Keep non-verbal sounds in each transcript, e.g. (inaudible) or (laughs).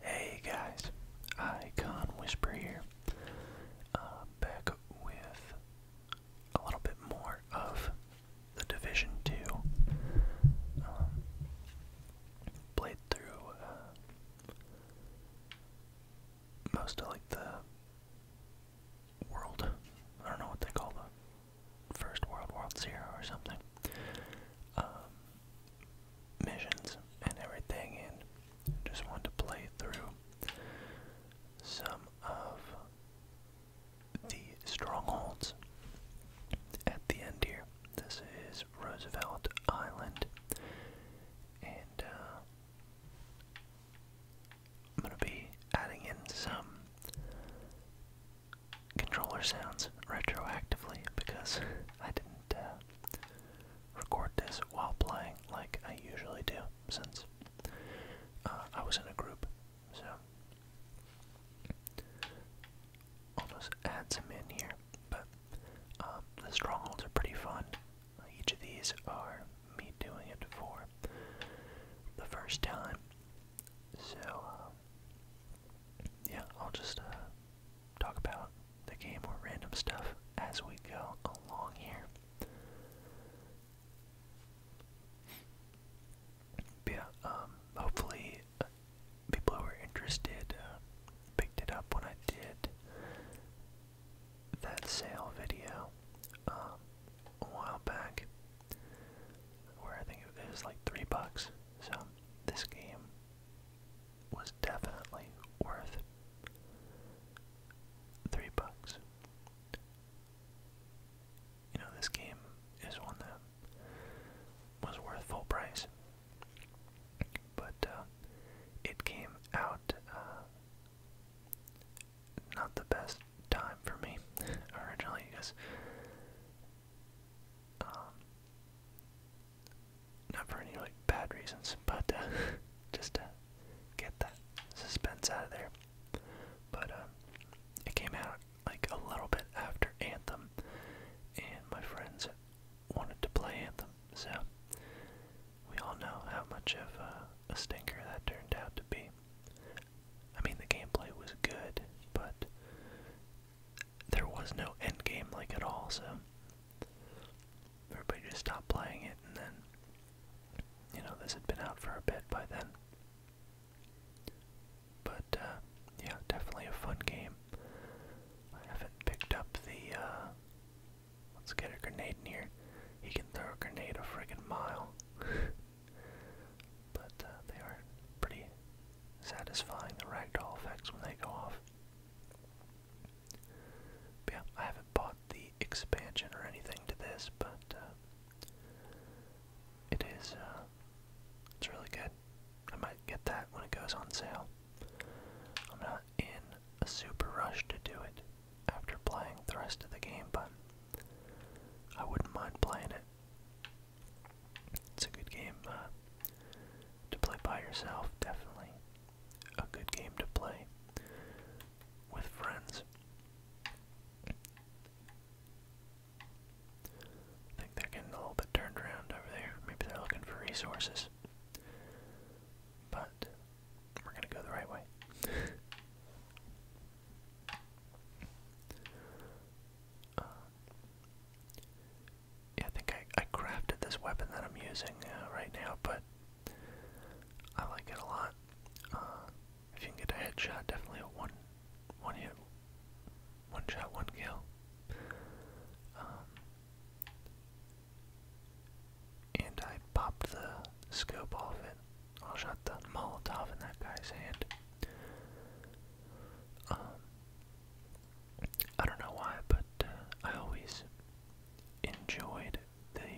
Hey guys, Icon Whisper here. Uh, back with a little bit more of the Division 2. Um, played through uh, most of like the world, I don't know what they call the First World, World Zero or something. Um, missions and everything, and just want to play through some of the strongholds at the end here. This is Roosevelt Island, and uh, I'm going to be adding in some controller sounds retroactively because (laughs) I didn't uh, record this while playing like I usually do since uh, I was in a group. So I'll just add some in here. But um, the strongholds are pretty fun. Each of these are me doing it for the first time. So, um, yeah, I'll just uh, talk about the game or random stuff as we go along here. yeah, um, hopefully uh, people who were interested uh, picked it up when I did that sale video um, a while back, where I think it was like three bucks. So this game was definitely worth three bucks. You know, this game is one that was worth full price, but uh, it came out uh, not the best time for me (laughs) originally because um, not for any like bad reasons, but uh, (laughs) just to get that suspense out of there. But um, it came out like a little bit after Anthem, and my friends wanted to play Anthem, so we all know how much of uh, a stinker that turned out to be. I mean, the gameplay was good, but there was no end game like at all, so everybody just stopped playing it and then you know, this had been out for a bit by then. But uh yeah, definitely a fun game. I haven't picked up the uh let's get a grenade in here. He can throw a grenade a friggin' mile. (laughs) but uh, they are pretty satisfying the ragdoll effects when they go off. yeah, I haven't bought the expansion or anything to this, but uh, it is uh, it's really good. I might get that when it goes on sale. I'm not in a super rush to do it after playing the rest of the game, but I wouldn't mind playing it. It's a good game uh, to play by yourself, definitely. A good game to play with friends. I think they're getting a little bit turned around over there. Maybe they're looking for resources. But we're going to go the right way. (laughs) yeah, I think I, I crafted this weapon that I'm using uh, right now, but I like it a lot. Uh, if you can get a headshot, definitely a one, one hit, one shot, one kill. Um, and I popped the scope off it. I shot the Molotov in that guy's hand. Um, I don't know why, but uh, I always enjoyed the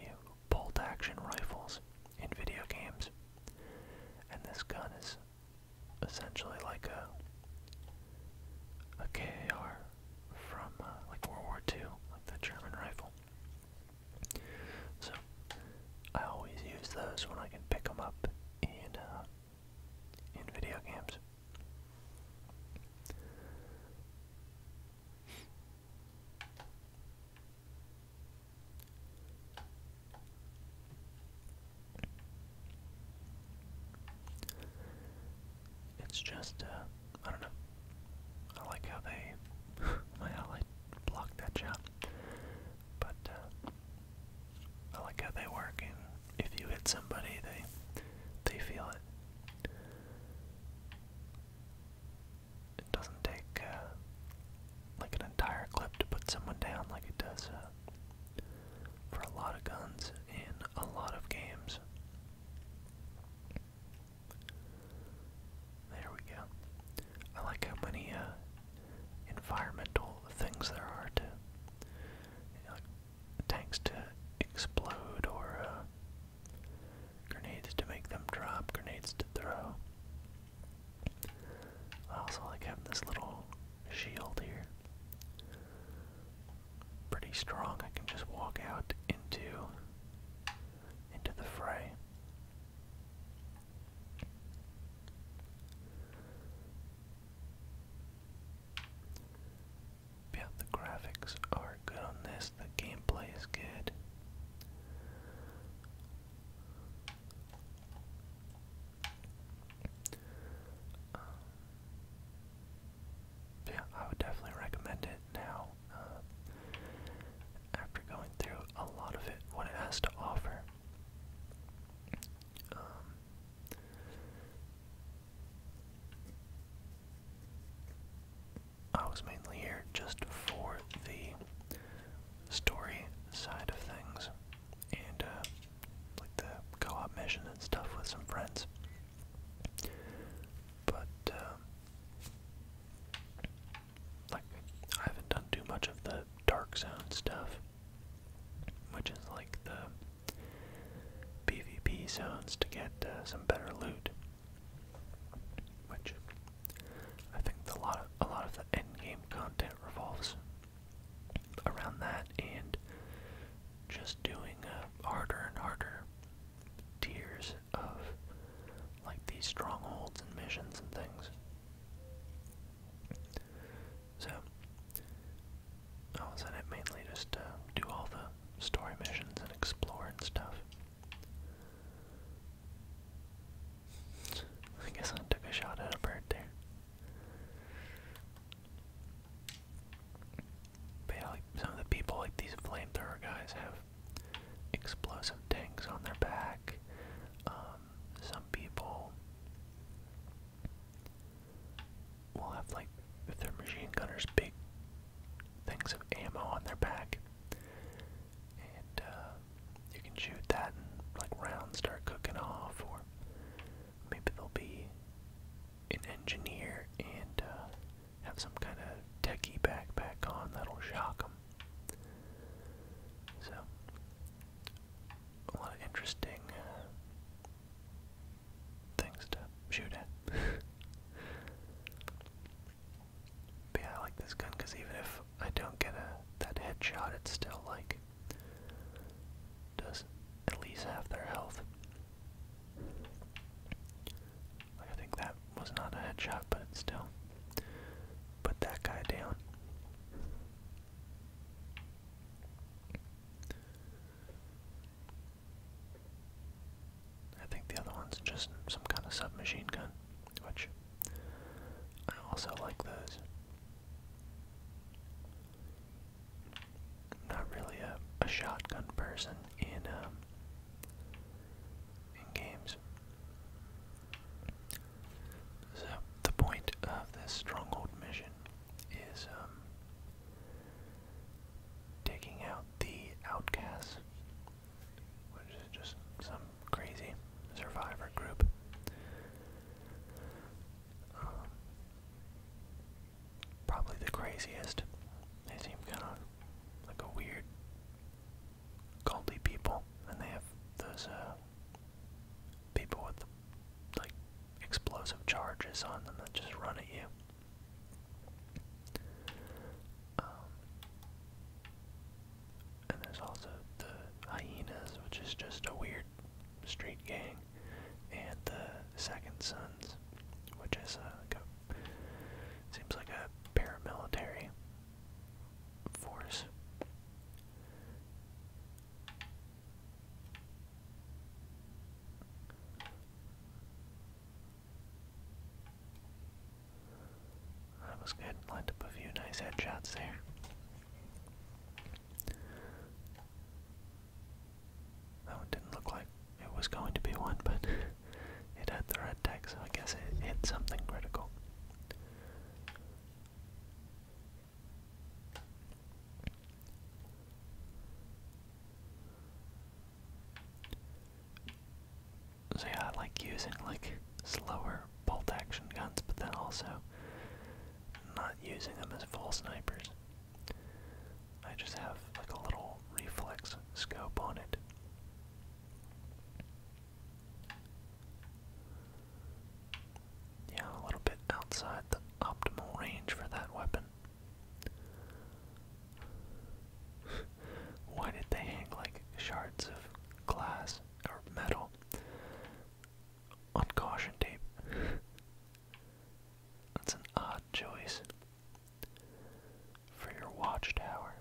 bolt action rifles in video games. And this gun is essentially like a, a KAR from uh, like World War II, like the German rifle. So I always use those when I can pick them up in uh, in video games. It's just, uh, I don't know. I like how they, (laughs) I like blocked that shot. But, uh, I like how they work, and if you hit somebody, they they feel it. It doesn't take uh, like an entire clip to put someone down, like it does uh, for a lot of guns in a lot of games. There we go. I like how many uh, environmental things there are too. You know, like tanks to explode or uh, grenades to make them drop, grenades to throw. I also like having this little shield here. Pretty strong. I can just walk out into into the fray. Yeah, the graphics are good on this, the gameplay is good. Um, yeah, I would definitely recommend it now. Uh, after going through a lot of it, what it has to offer. Um, I was mainly here just for the story side of things and uh, like the co op mission and stuff with some friends. But, um, like, I haven't done too much of the Dark Zone stuff, which is like the PvP zones to get uh, some better loot. Which I think a lot of a lot of the end content revolves around that and just doing uh, harder and harder tiers of like these strongholds and missions and things. So, I was in it mainly just to uh, do all the story missions and explore and stuff. I guess I took a shot at a bird there. some of the people, like these flamethrower guys, have explosive tanks on their back. Um, some people will have like if they're machine gunners big things of ammo on their back and uh, you can shoot that and like rounds start cooking off or maybe there'll be an engineer and uh, have some kind of techie backpack on that'll shock them so a lot of interesting uh, things to shoot at. (laughs) but I like this gun because even if I don't get a that headshot, it's still like does at least half their health. I think that was not a headshot, but it still put that guy down. I think the other one's just some kind of submachine gun, which I also like those. not really a, a shotgun person in um, in games. So the point of this stronghold mission is um, taking out the outcasts, which is just some crazy survivor group. Um, probably the craziest. They seem kind of like a weird, culty people, and they have those uh, people with the like explosive charges on them that just run at you. Um, and there's also the hyenas, which is just a weird street gang, and the Second Sons, which is uh, a seems like a paramilitary force. That was good. Lined up a few nice headshots there. That one didn't look like it was going to be one, but (laughs) it had the red tag, I guess it hit something critical. So yeah, I like using like slower bolt action guns, but then also not using them as full snipers. I just have like a little reflex scope on it. Yeah, a little bit outside the optimal range for that weapon. (laughs) Why did they hang like shards of glass or metal on caution tape? (laughs) That's an odd choice for your watchtower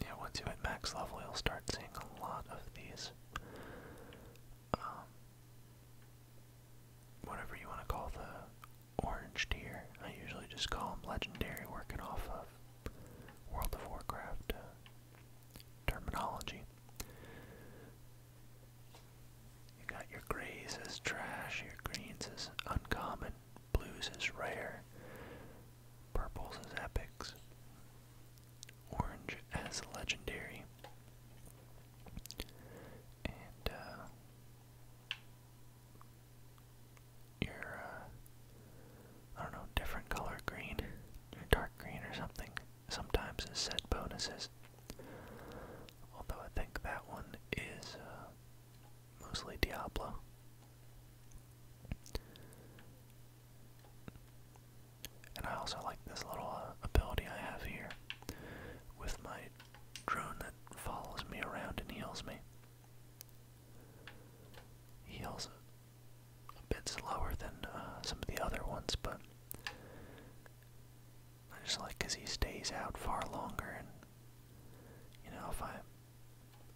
yeah, once you hit max level, you'll start seeing a lot of these, um, whatever you want to call the orange tier. I usually just call them legendary, working off of World of Warcraft uh, terminology. You got your grays as trash, your greens as uncommon, blues as rare, purples as epics, Orange as legendary. And, uh, your, uh, I don't know, different color green, your dark green or something, sometimes it said bonuses. Although I think that one is, uh, mostly Diablo. And I also like this little uh, ability I have here with my drone that follows me around and heals me. Heals a bit slower than uh, some of the other ones, but I just like because he stays out far longer. And you know, if I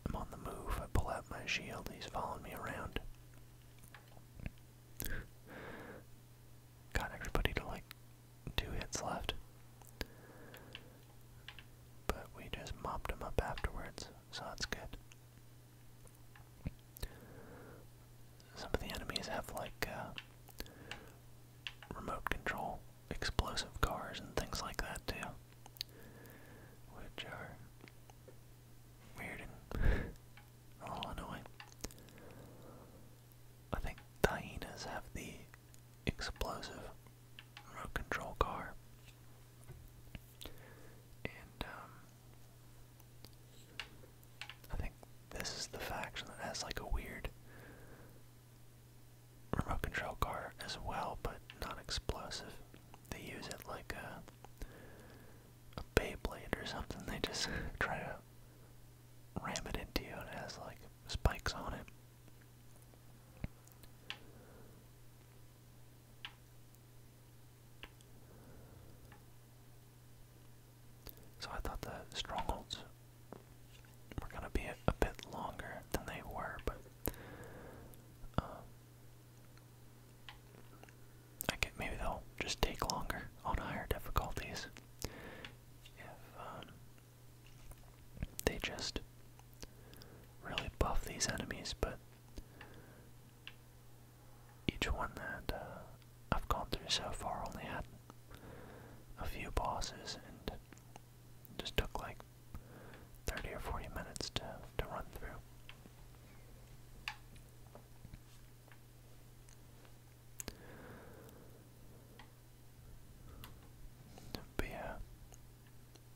am on the move, I pull out my shield, he's following me around. Got everybody to like two hits left. But we just mopped them up afterwards, so that's good. Some of the enemies have like uh, remote control explosive cars and things like that too, which are weird and annoying. I think the have the explosive remote control car. And, um, I think this is the faction that has like a weird remote control car as well, but not explosive. They use it like a uh, a Beyblade or something. They just (laughs) try to ram it into you and it has like spikes on it. So I thought the strongholds were gonna be a, bit longer than they were, but uh, I Okay, maybe they'll just take longer on higher difficulties if um, they just really buff these enemies, but each one that uh, I've gone through so far only had a few bosses and just took like 30 or 40 minutes to, to run through. But yeah,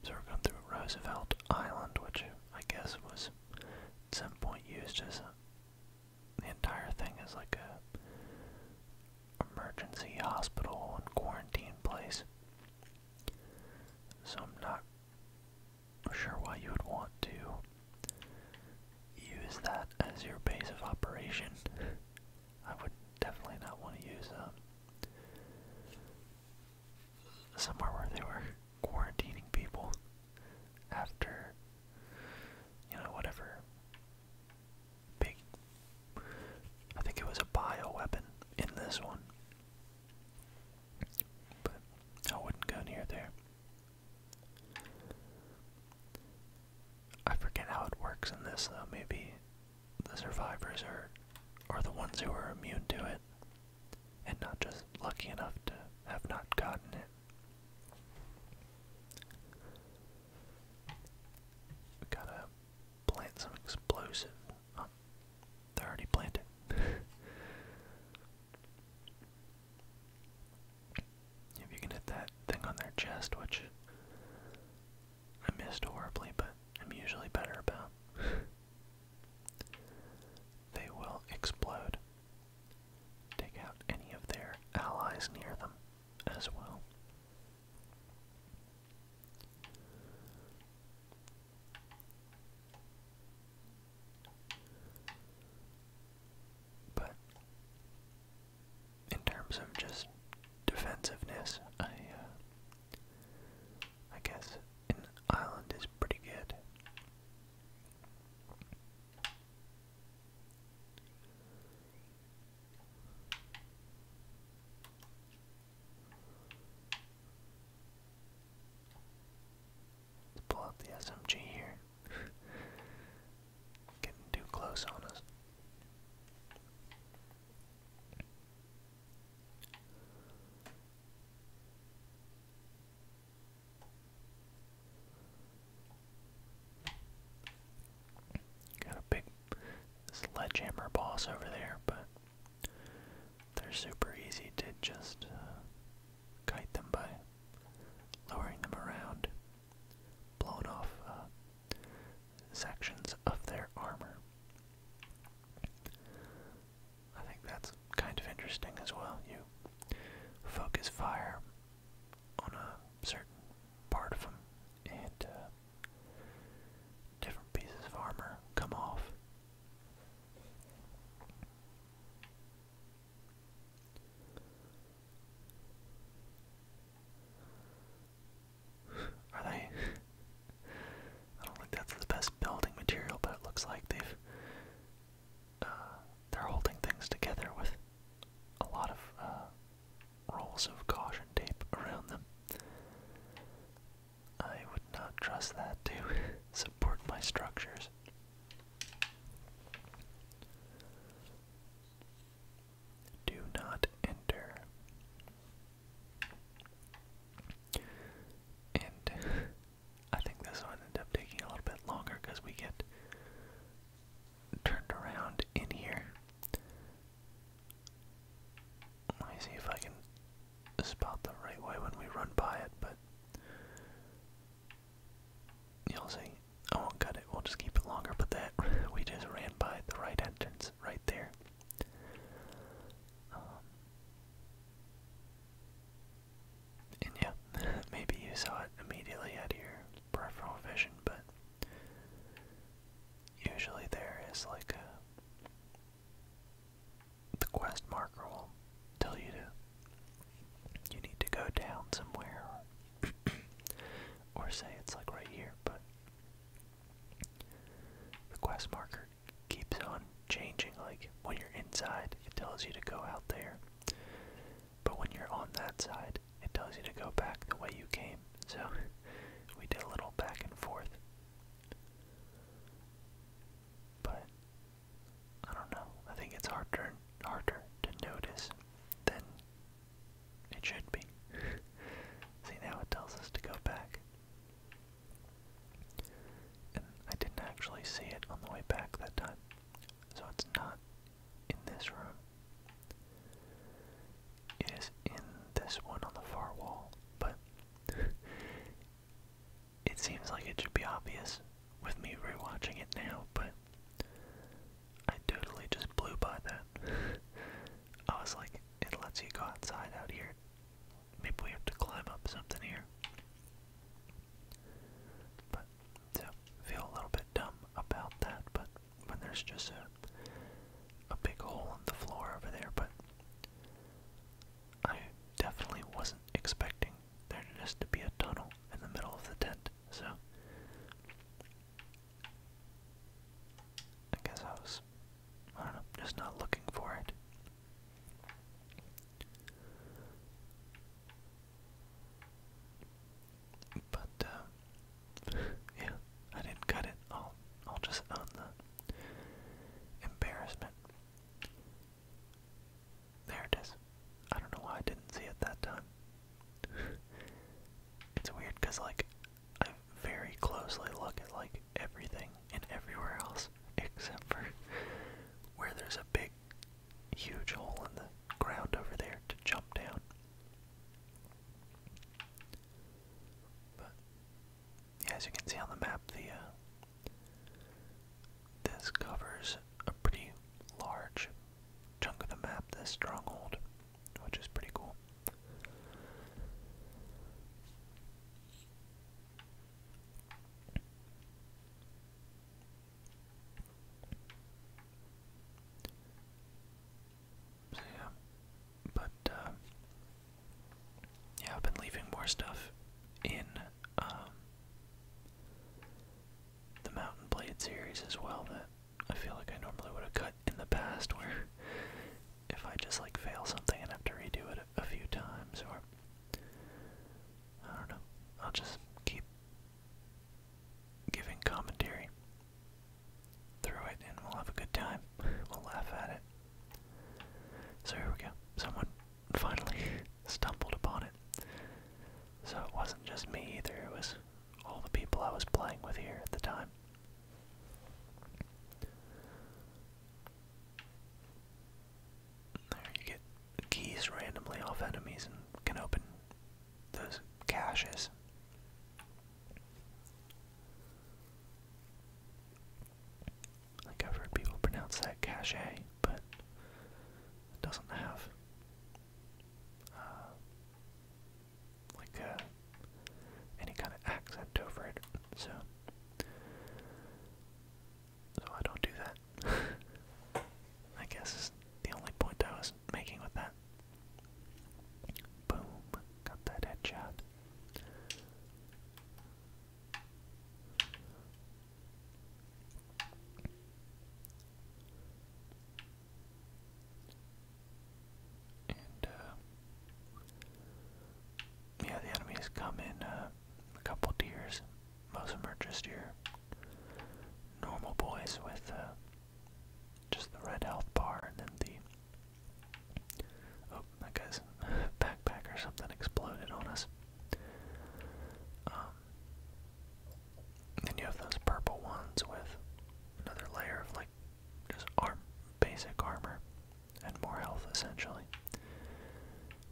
so we're going through Roosevelt Island, which I guess was at some point used as a, the entire thing as like a emergency hospital and quarantine place. So I'm not sure why you would want to use that as your base of operation. I would definitely not want to use um, somewhere where they were quarantining people after, you know, whatever big. I think it was a bio weapon in this one. But I wouldn't go near there. I forget how it works in this though. Maybe the survivors are or the ones who are immune to it and not just lucky enough to have not gotten it. gotta plant some explosive. they already planted. (laughs) If you can hit that thing on their chest, which I missed horribly, but I'm usually better about, (laughs) they will explode. Take out any of their allies near them as well. But in terms of just defensiveness, I, uh, I guess an island is pretty good. Let's pull out the SMG here. (laughs) Getting too close on us. Got a big sledgehammer boss over there, but they're super easy to just uh, kite them by lowering them around, blowing off uh, sections of their armor. I think that's kind of interesting as well. You focus fire on a certain part of them, and uh, different pieces of armor come off. (sighs) Are they? I don't think that's the best building material, but it looks like they've. Uh, they're holding things together with a lot of uh, rolls of caution tape around them. I would not trust that to (laughs) support my structures. Do not enter. And (laughs) I think this one ended up taking a little bit longer because we get turned around in here. Let me see if I can spot the right way when we run by it, but You'll see. I won't cut it, we'll just keep it longer, but that (laughs) we just ran by the right entrance right there. Um, and yeah, (laughs) maybe you saw it immediately out of your peripheral vision, but usually there is like the quest marker will tell you to you need to go down somewhere (coughs) or say it's like right here, but the quest marker keeps on changing like when you're inside it tells you to go out there. But when you're on that side, it tells you to go back the way you came. So (laughs) we did a little back and forth. But I don't know. I think it's harder harder to notice than it should be. (laughs) See now it tells us to go back. And I didn't actually see it on the way back that time. So it's not in this room. It is in this one on the far wall, but (laughs) It seems like it should be obvious with me rewatching it now, but I totally just blew by that. (laughs) I was like, it lets you go outside out here. Maybe we have to climb up something here. But, so, feel a little bit dumb about that, but when there's just a, a big hole in the floor over there, but I definitely wasn't expecting there needs to be a tunnel in the middle of the tent, so I guess I was, I don't know, just not looking for it. But, uh, (laughs) yeah, I didn't cut it. I'll, I'll just own the embarrassment. There it is. I don't know why I didn't see it that time. (laughs) it's weird because, like, I very closely look at, like, everything and everywhere else except for where there's a big, huge hole in the ground over there to jump down. But, as you can see on the map, the uh, this covers a pretty large chunk of the map, this stronghold, which is pretty cool. So yeah, but uh, yeah, I've been leaving more stuff in um, the Mountain Blade series as well that I feel like I normally would have cut in the past where (laughs) if I just like fail something and have to redo it a, few times or I don't know. I'll just keep giving commentary through it and we'll have a good time. We'll laugh at it. So here we go. Someone finally stumbled upon it. So it wasn't just me either, it was all the people I was playing with here at the time. There you get keys randomly off enemies and can open those caches. Like I've heard people pronounce that cachet, but it doesn't have uh, like uh, any kind of accent over it, so so I don't do that. (laughs) I guess is the only point I was making with that. Boom, got that headshot. Uh, yeah, the enemies come in uh, a couple tiers. Most of them are just your normal boys with uh, just the red health bar and then the. Oh, that guy's (laughs) backpack or something exploded on us. Um, then you have those purple ones with another layer of like just arm basic armor and more health essentially.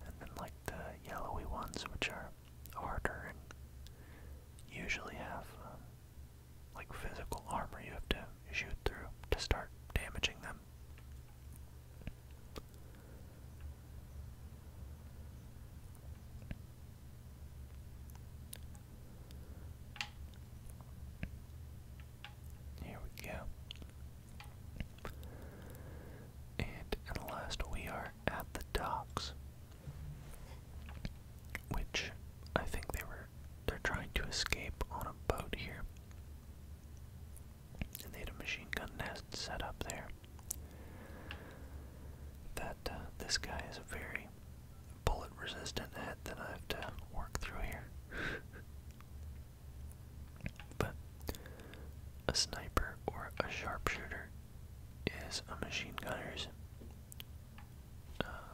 And then like the yellowy ones which are harder and usually have um, like physical armor you have to shoot through to start damaging them. Here we go. And last, we are at the docks, which I think they were—they're trying to escape on a boat here they had a machine gun nest set up there. That uh, this guy is a very bullet resistant head that I have to work through here. (laughs) but a sniper or a sharpshooter is a machine gunner's uh,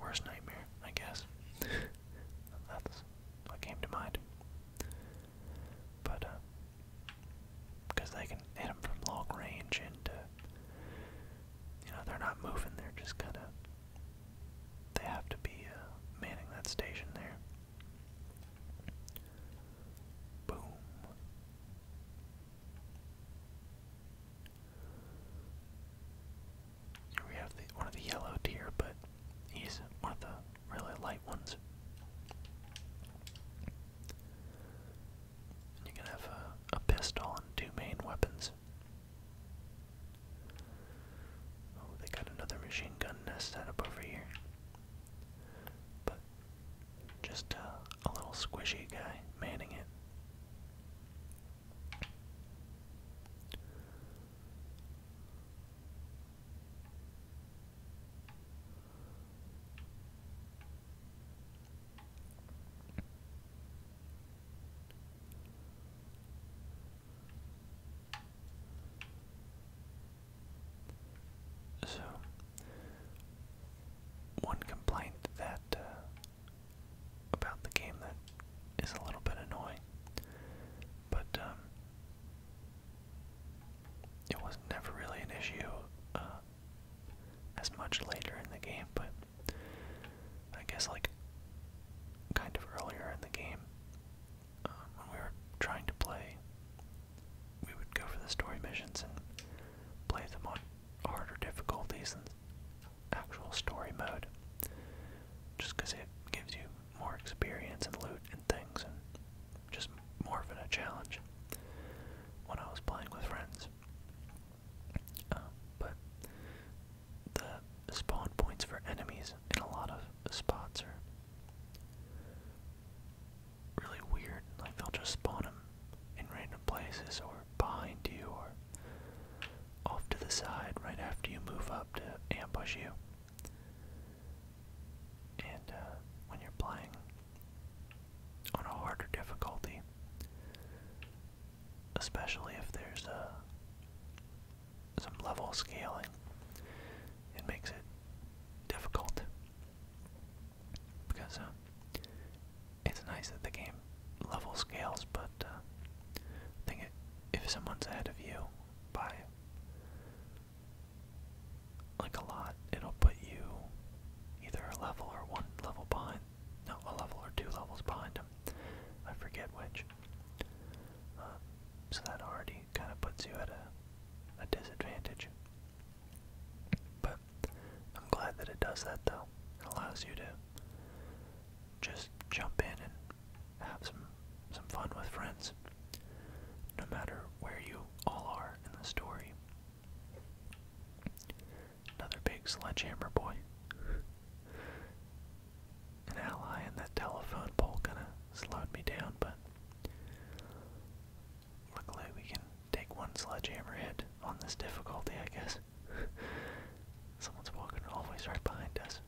worst nightmare, I guess. (laughs) That's what came to mind. But, because um, they can hit them from long range and, uh, you know, they're not moving, they're just kind of, they have to be uh, manning that station there. Boom. Here we have one of the yellow deer, but he's one of the really light ones. And you can have a, pistol and two main weapons. Oh, they got another machine gun nest set up over here. But just a little squishy guy manning it. So, one complaint that uh, about the game that is a little bit annoying, but um, it was never really an issue uh, as much later in the game, but I guess like kind of earlier in the game uh, when we were trying to play, we would go for the story missions and play them on harder difficulties than actual story mode, just because it gives you more experience and loot and things and just more of a challenge when I was playing with friends. Uh, but the spawn points for enemies in a lot of spots are really weird. Like they'll just spawn them in random places or behind you or off to the side right after you move up to ambush you. And uh, when you're playing on a harder difficulty, especially if there's uh, some level scaling, it makes it difficult because uh, it's nice that the game level scales, but uh, I think it, if someone's ahead of you by like a lot, it'll put you either a level or one level behind, no, a level or two levels behind them. I forget which. Um, so that already kind of puts you at a, a disadvantage. But I'm glad that it does that though. It allows you to just jump in and have some some fun with friends. No matter where you all are in the story. Another big sledgehammer boy. An ally in that telephone pole kinda slowed me down, but luckily we can take one sledgehammer hit on this difficulty, I guess. (laughs) Someone's walking always right behind us.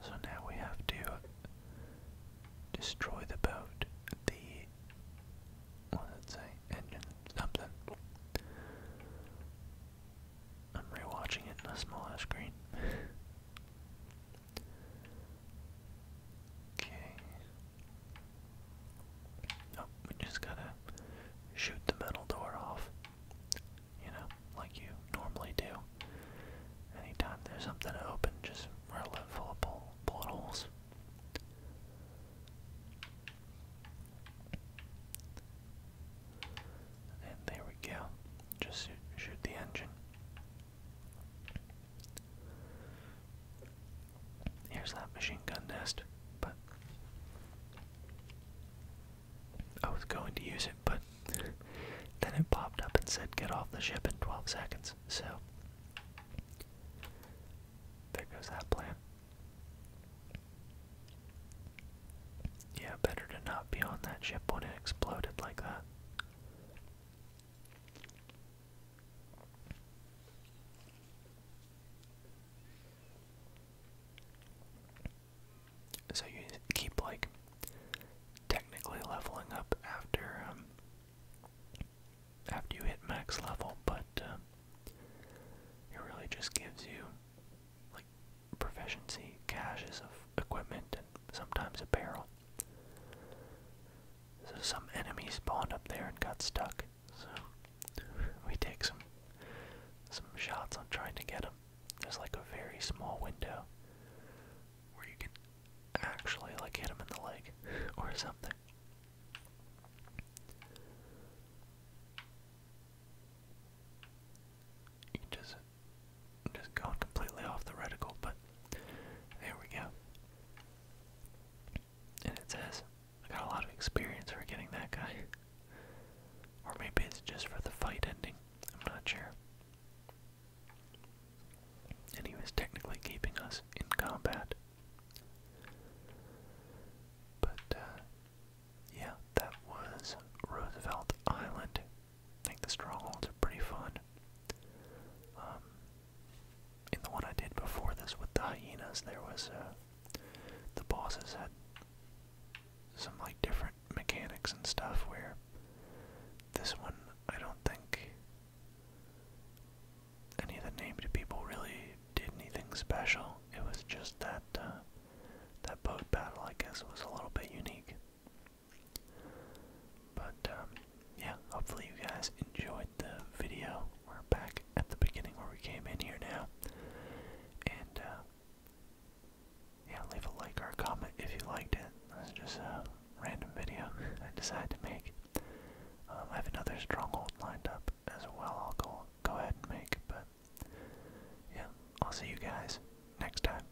So now we have to destroy the boat, the what did say? Engine something. I'm rewatching it in a smaller screen. Okay. Oh, we just gotta shoot the metal door off. You know, like you normally do. Anytime there's something open, just roll it full of bull bullet holes. And there we go. Just shoot the engine. Here's that machine gun nest, but I was going to use it, but then it popped up and said get off the ship in 12 seconds, so there goes that plan. Yeah, better to not be on that ship when it exploded like that. So you keep like technically leveling up after um, after you hit max level, but um, it really just gives you like proficiency caches of equipment sometimes a barrel. So some enemies spawned up there and got stuck. So we take some some shots on trying to get them. There's like a very small window where you can actually like hit them in the leg (laughs) or something. You can just I'm just going completely off the reticle, but there we go. And it says, I got a lot of experience for getting that guy. Or maybe it's just for the fight ending. I'm not sure. And he was technically keeping us in combat. But, uh, yeah, that was Roosevelt Island. I think the strongholds are pretty fun. Um, in the one I did before this with the hyenas, there was uh, the bosses had some like different mechanics and stuff. Where this one, I don't think any of the named people really did anything special. It was just that uh, that boat battle, I guess, was a little bit unique. But um, yeah, hopefully you guys enjoyed the video. We're back at the beginning where we came in here now. And uh, yeah, leave a like or a comment if you liked it. That's just a random video (laughs) I decided to make. Um, I have another stronghold lined up as well. I'll go go ahead and make, but yeah, I'll see you guys next time.